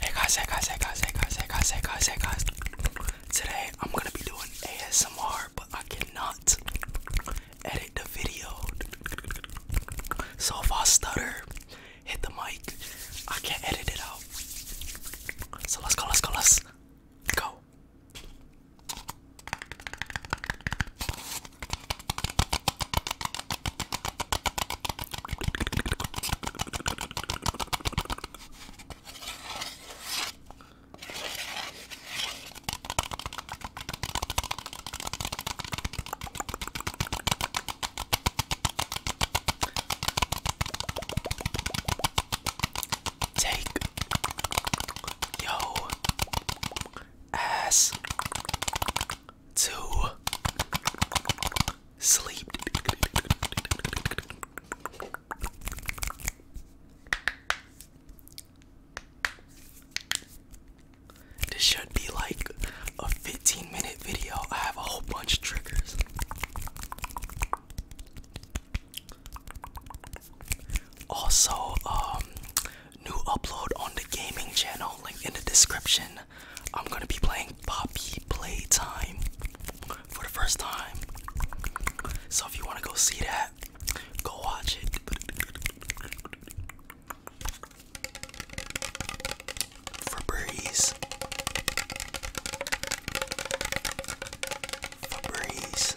Hey guys, hey guys, hey guys, hey guys, hey guys, hey guys, hey guys. Today I'm gonna be doing ASMR, but I cannot edit the video. So if I stutter, hit the mic, I can't edit it out. So let's go, let's go, let's go. Take yo ass to sleep. This should be like a 15 minute video. I have a whole bunch of triggers. Also, um, new upload on the gaming channel, link in the description. I'm gonna be playing Poppy Playtime for the first time. So if you wanna go see that, go watch it. For breeze. breeze.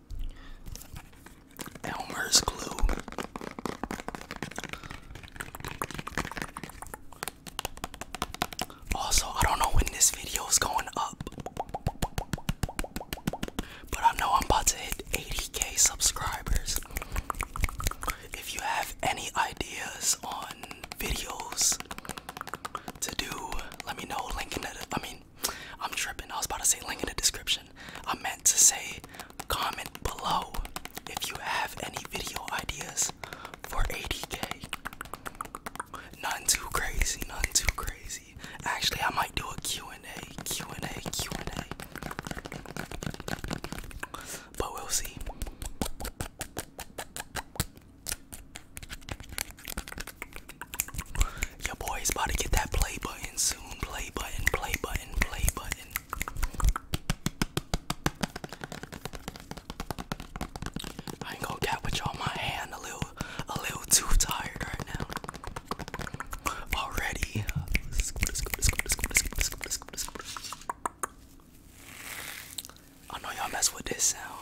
Elmer's glue. Also, I don't know when this video is going up, but I know I'm about to hit 80k subscribers. If you have any ideas on videos to do, let me know. Link in I mean, I'm tripping. I was about to say link in the description. I meant to say comment below if you have any video ideas for 80k. None too crazy, none too crazy. Actually, I might do a Q&A, Q&A, Q&A. But we'll see. Your boy's about to get that play button soon. Play button, play button, play button. I ain't gonna cap with y'all my hand a little a little too tired right now. Already. I know y'all mess with this sound.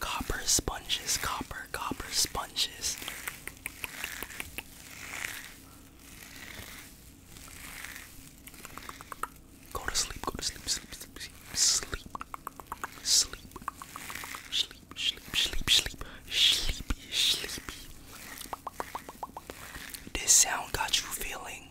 Copper sponges, copper, copper sponges. Go to sleep, go to sleep, sleep, sleep, sleep, sleep, sleep, sleep, sleep, sleep, sleepy, sleepy. This sound got you feeling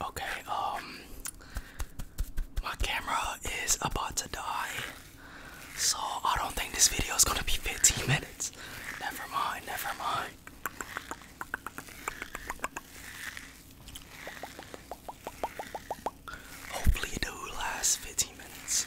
Okay, um, my camera is about to die, so I don't think this video is gonna be 15 minutes. Never mind, never mind. Hopefully, it will last 15 minutes.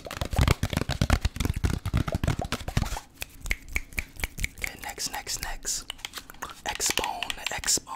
Okay, next, next, next. X-bone, X-bone.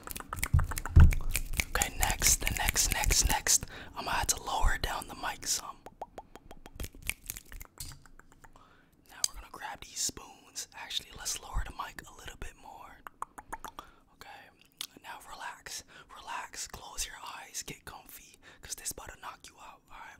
Okay, next, the next, next, next. I'm gonna have to lower down the mic some. Now we're gonna grab these spoons. Actually, let's lower the mic a little bit more. Okay, now relax, relax, close your eyes, get comfy, cause this about to knock you out, alright?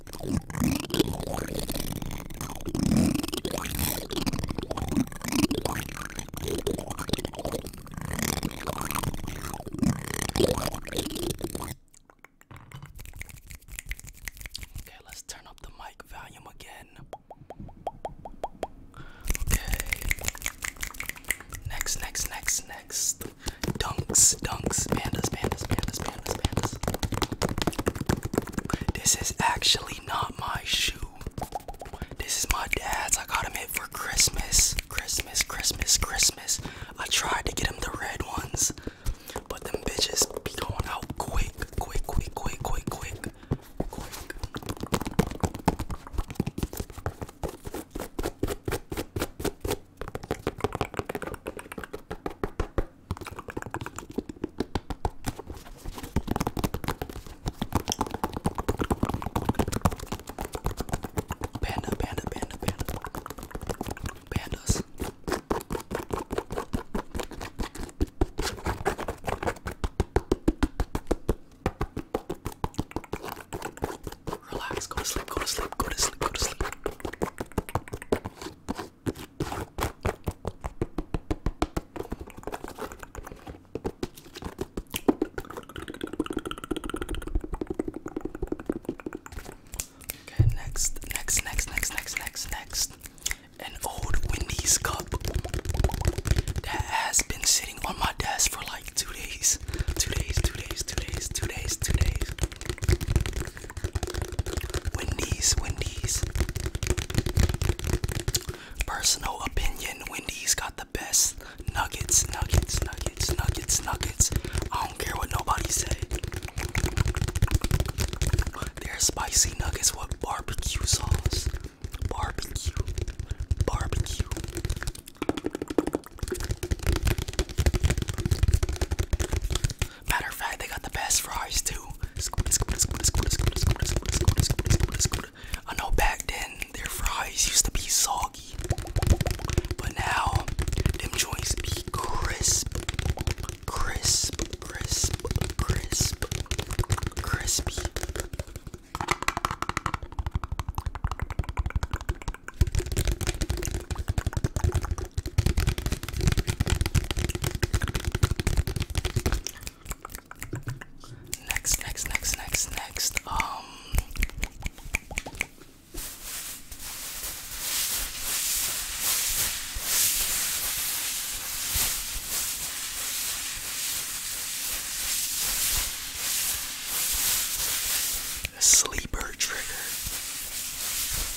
Okay, let's turn up the mic volume again. Okay. Next, next, next, next. Dunks, dunks, pandas, pandas, pandas, pandas, pandas. This is actually not my shoe. This is my dad's. I got him it for Christmas. Christmas, Christmas, Christmas. I tried to get him the red ones, but them bitches be going out quick, quick, quick, quick, quick, quick, quick. Panda, panda, panda, panda. Pandas. Relax, go to sleep, go to sleep, go to sleep, go to sleep. Okay, next, next, next, next, next, next, next. An old Wendy's cup that has been sitting on my desk for like two days. Two days, two days, two days, two days, two days. Wendy's, Wendy's. Personal opinion, Wendy's got the best nuggets, nuggets, nuggets, nuggets, nuggets. I don't care what nobody say. They're spicy nuggets with barbecue sauce. Barbecue. Barbecue. Matter of fact, they got the best fries too. I know back then their fries used to be soggy, but now them joints be crisp, crisp, crisp, crisp, crispy. Next, next, next, next, next. Um sleeper trigger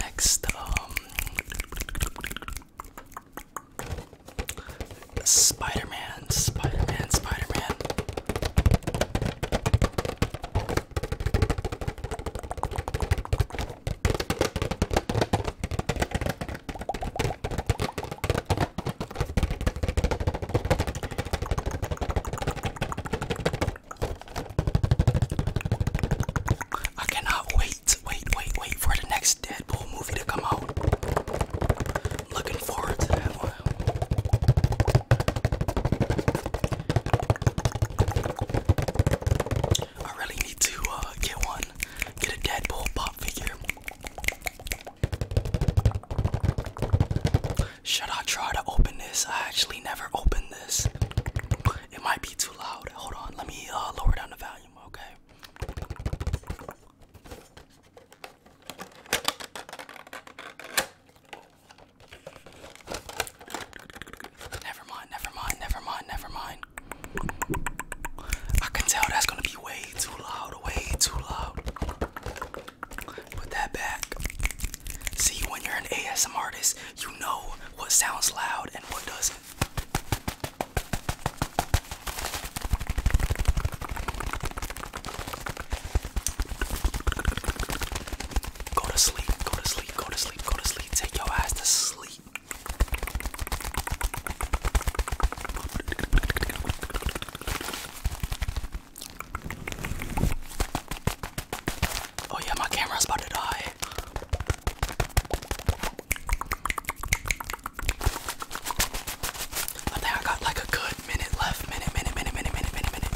Next, um, Spider Man, Spider Man, Spider Man. I cannot wait, wait, wait, wait for the next Deadpool movie to come out. Looking forward to that I really need to uh, get one, get a Deadpool pop figure. Should I try to open this? I actually never opened this. It might be too loud. Hold on, let me uh, lower down the volume, okay? Never mind, never mind, never mind, never mind. I can tell that's gonna be way too loud, way too loud. Put that back. See, when you're an ASM artist, you know what sounds loud and what doesn't. Go to sleep, go to sleep, go to sleep, go to sleep. Take your ass to sleep. Oh, yeah, my camera's about to die. I think I got like a good minute left. Minute, minute, minute, minute, minute, minute, minute.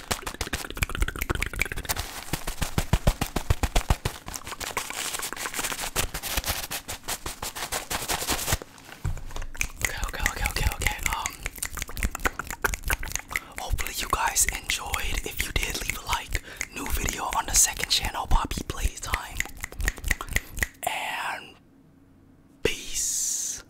Okay, okay, okay, okay, okay. Um hopefully you guys enjoyed. If you did, leave a like. New video on the second channel, Bobby Playtime. And peace.